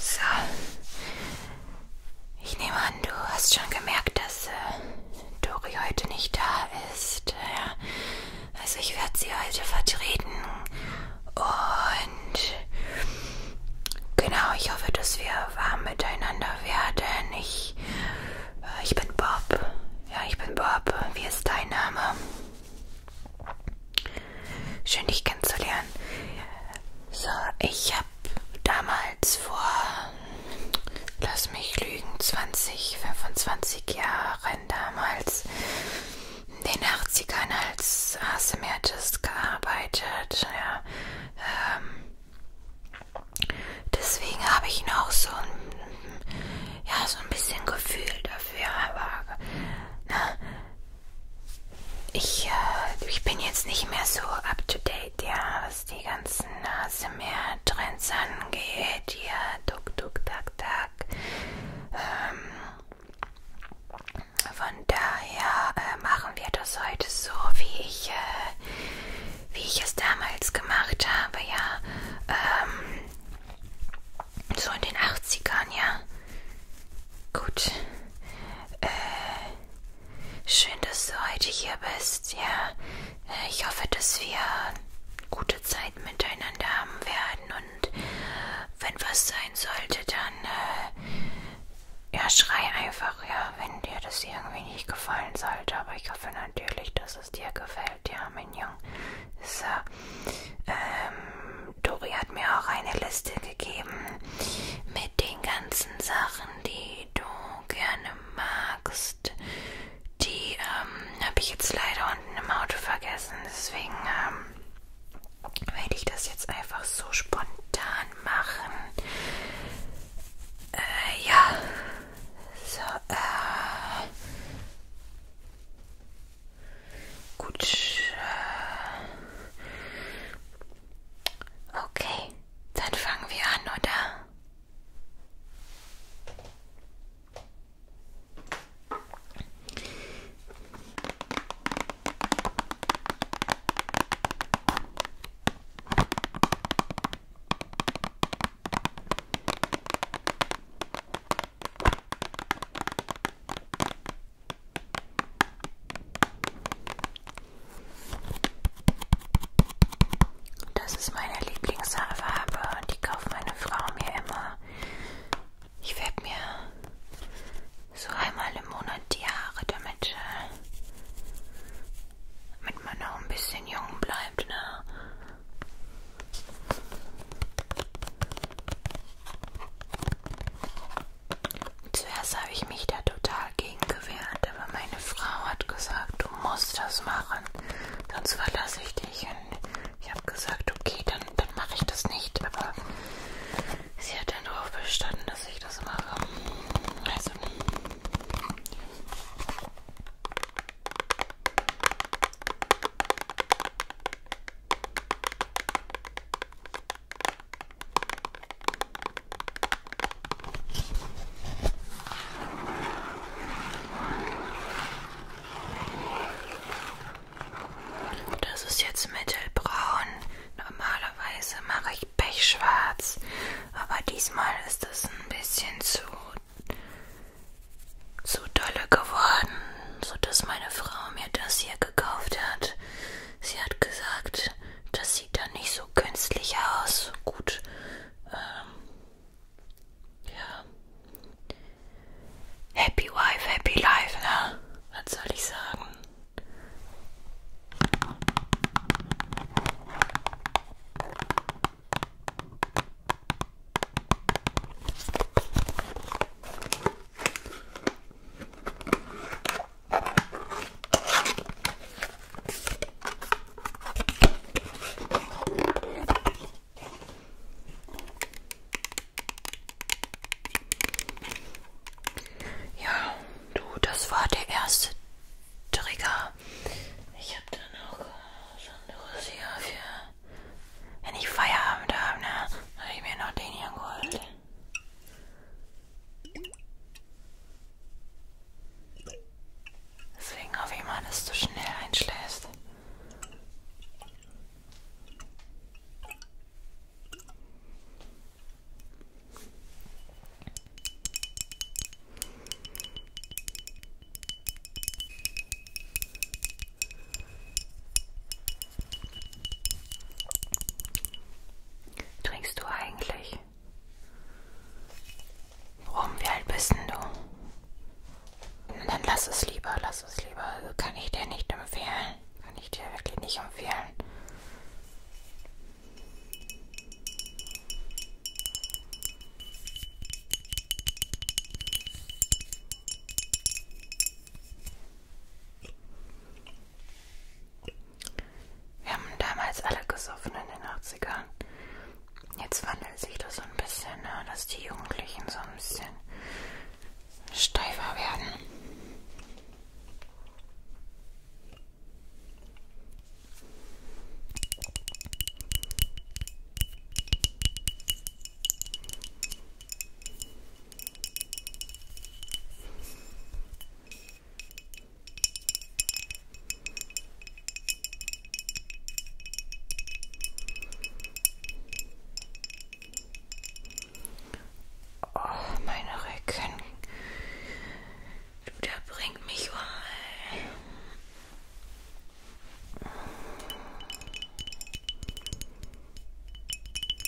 So. Ich nehme an, du hast schon gemerkt, dass äh, Dori heute nicht da ist. Ja. Also ich werde sie heute vertreten. Und genau, ich hoffe, dass wir warm miteinander werden. Ich, äh, ich bin Bob. Ja, ich bin Bob. Wie ist dein Name? Schön, dich kennenzulernen. So, ich habe damals vor, lass mich lügen, 20, 25 Jahren damals in den 80ern als ASMR-Artist gearbeitet. Ja. Ähm, deswegen habe ich noch so ein, ja, so ein bisschen Gefühl dafür, aber ne, ich, äh, ich bin jetzt nicht mehr so up to date, ja, was die ganzen Nase mehr Trends angeht, hier, ja, tuk tuk tak tak. Ähm, von daher äh, machen wir das heute so, wie ich, äh, wie ich es damals gemacht habe, ja. Ähm, so in den 80ern, ja. Gut. Äh, schön, dass du heute hier bist. Ja, äh, ich hoffe, dass wir gute Zeit miteinander haben werden. Und wenn was sein sollte, dann äh, ja, schrei einfach, ja, wenn dir das irgendwie nicht gefallen sollte. Aber ich hoffe natürlich, dass es dir gefällt, ja, mein Junge. So, ähm, Dori hat mir auch eine Liste gegeben mit den ganzen Sachen, die du gerne magst. Die ähm, habe ich jetzt leider unten im Auto vergessen. Deswegen ähm, werde ich das jetzt einfach so spontan machen. Äh, ja. So, äh. Gut. Äh, Okay, dann fangen wir an, oder? Das ist meine Lieblingsfarbe, die kauft meine Frau mir immer. Ich werde mir so einmal im Monat die Haare damit, äh, damit man auch ein bisschen jung bleibt, ne? Zuerst habe ich mich da total gegen gewehrt, aber meine Frau hat gesagt, du musst das machen, sonst verlasse ich dich. Und ich habe gesagt, okay, dann, dann mache ich das nicht. Aber sie hat dann darauf bestanden, dass ich das mache. Also. Das ist jetzt mittelbraun. Normalerweise mache ich pechschwarz, aber diesmal ist es ein bisschen zu zu dolle geworden, so dass meine Frau mir das hier gekauft hat. Sie hat gesagt, das sieht dann nicht so künstlich aus. Gut. Ähm, ja. Happy Wife, Happy Life, ne? Was soll ich sagen? Ja, du, das war der erste Trigger. Ich habe dann noch was anderes hier für, wenn ich Feierabend habe, ne? Habe ich mir noch den hier geholt. Deswegen hoffe ich mal, dass du schnell einschläfst trinkst du eigentlich? Warum, wie alt bist denn du? Dann lass es lieber, lass es lieber. Also kann ich dir nicht empfehlen. Kann ich dir wirklich nicht empfehlen. Wir haben damals alle gesoffen in den 80ern. Jetzt wandelt sich das so ein bisschen, ne? dass die Jugendlichen so ein bisschen steifer werden. Oh, meine Rücken. Du, der bringt mich um.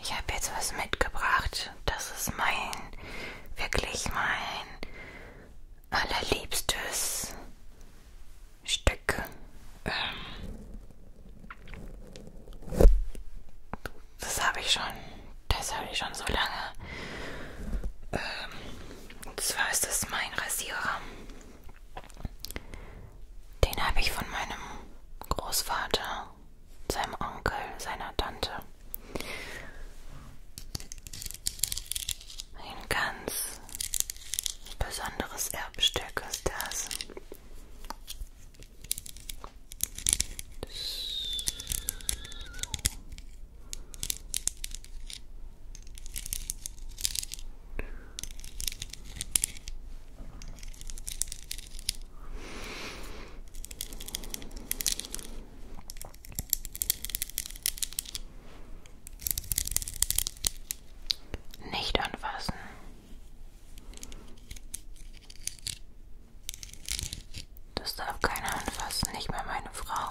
Ich habe jetzt was mitgebracht. Das ist mein, wirklich mein allerliebstes Stück. Ähm das habe ich schon, das habe ich schon so lange. Ähm, und zwar ist das mein Rasierer. Den habe ich von meinem Großvater seinem Onkel, seiner Tante. Ein ganz besonderes Erbstück ist das. Nicht anfassen. Das darf keiner anfassen, nicht mehr meine Frau.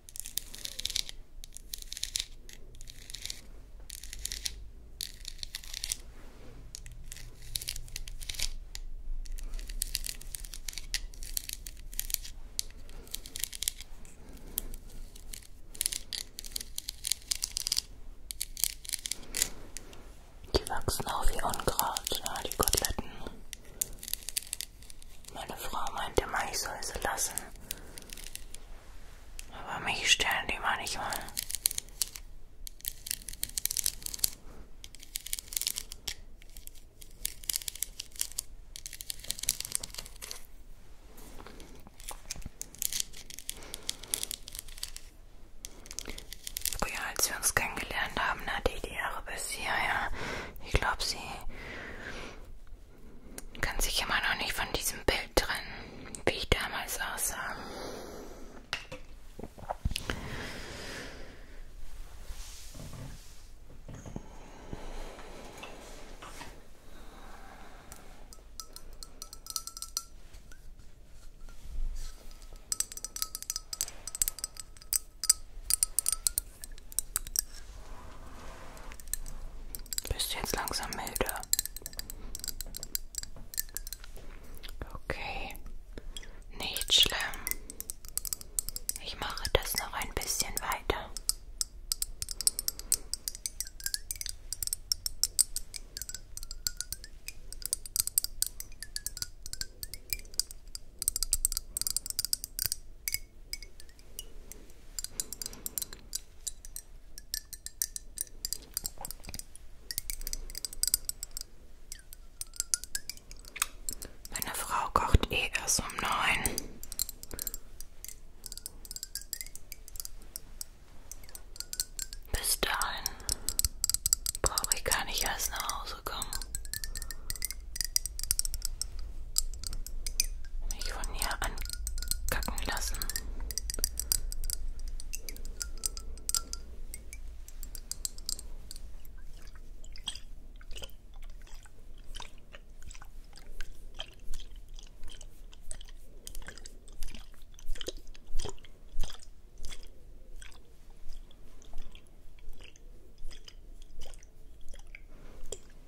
Die wachsen auch wie Unkraut, na, ah, die Koteletten. Meine Frau meinte mal, ich soll sie lassen. Aber mich stellen die mal nicht mal. Früher, als wir uns kennengelernt haben, hatte ich die Jahre bis hierher. Ja. Ich glaube, sie kann sich immer noch nicht von diesem Bild trennen, wie ich damals aussah. Bist du jetzt langsam milde? Okay, nicht schlimm. Ich mache das noch ein bisschen weiter. Meine Frau kocht eh erst um neun. Bis dahin brauche ich gar nicht erst nach Hause kommen. Mich von hier ankacken lassen.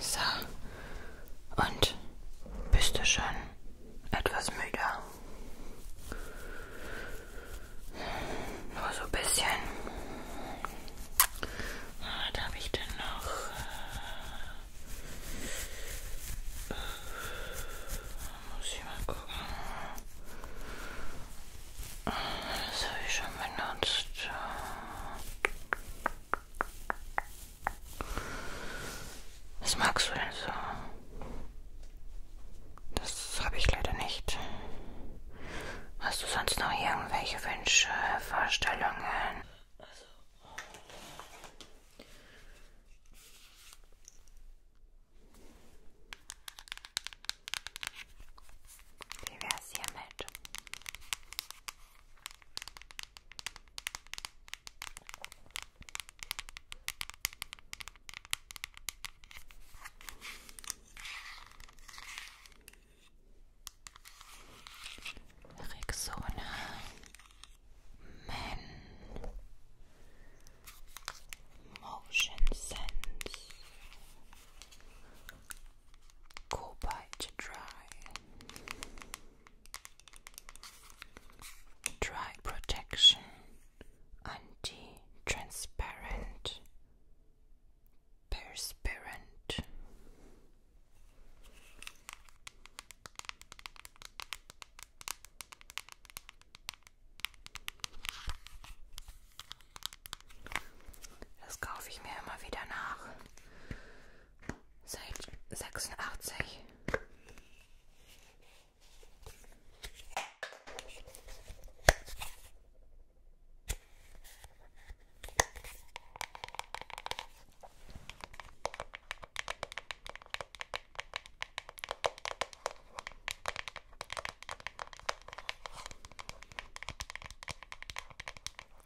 So. Und bist du schon etwas müde? Nur so ein bisschen. Was ah, habe ich denn noch? Äh, muss ich mal gucken. Das habe ich schon benutzt. Was magst du denn so? Also. Das habe ich leider nicht. Hast du sonst noch irgendwelche Wünsche, Vorstellungen? Also. Wie wär's hiermit? Rexona Men Motion Sense Cobalt Dry Dry Protection Anti-Transparent Perspirant Das kaufe ich mir immer wieder nach seit 86.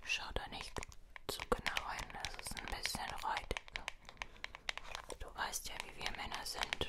Schaut da nicht zu genau hin, dass es ein bisschen reut. Du weißt ja, wie wir Männer sind.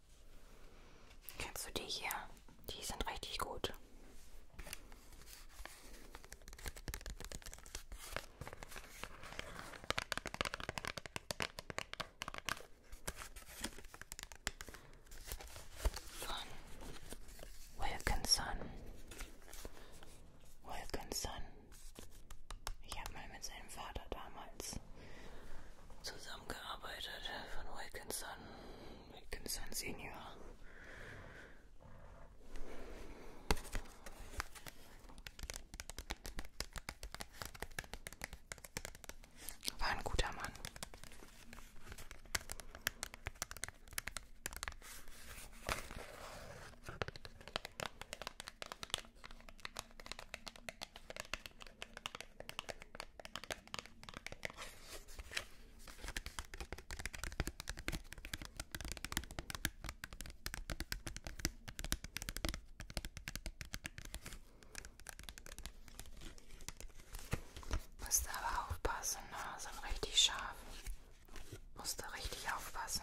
Kennst du die hier? Die sind richtig gut. Von Wilkinson. Wilkinson. Ich habe mal mit seinem Vater damals Wilkins zusammengearbeitet von Wilkinson, Wilkinson Senior. War ein guter Mann. Musst aber aufpassen, ne? sind richtig scharf. Musst du richtig aufpassen.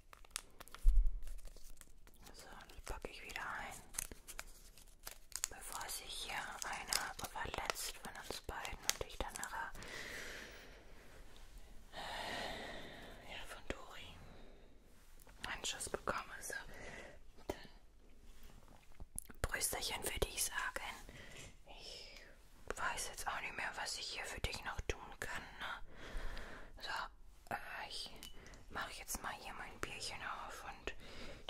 So, das packe ich wieder ein, bevor sich hier einer verletzt von uns beiden und ich dann nachher äh, ja, von Dori einen Schuss bekomme. So, dann Brüsterchen für dich sagen. Ich weiß jetzt auch nicht mehr, was ich hier für dich noch tun kann. Ne? So, äh, ich mache jetzt mal hier mein Bierchen auf und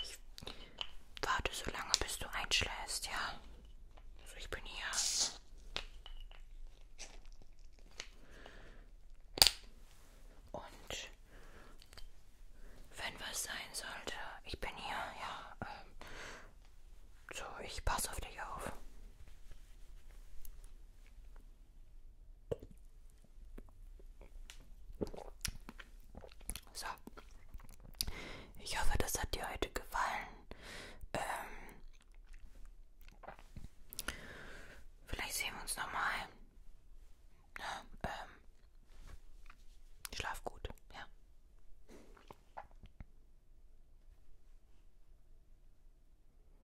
ich warte so lange, bis du einschläfst, ja? Also ich bin hier. Und wenn was sein sollte, ich bin hier, ja. Ähm, so, ich passe auf dich auf. So. Ich hoffe, das hat dir heute gefallen. Ähm, vielleicht sehen wir uns nochmal. Ja, ne? ähm, schlaf gut, ja.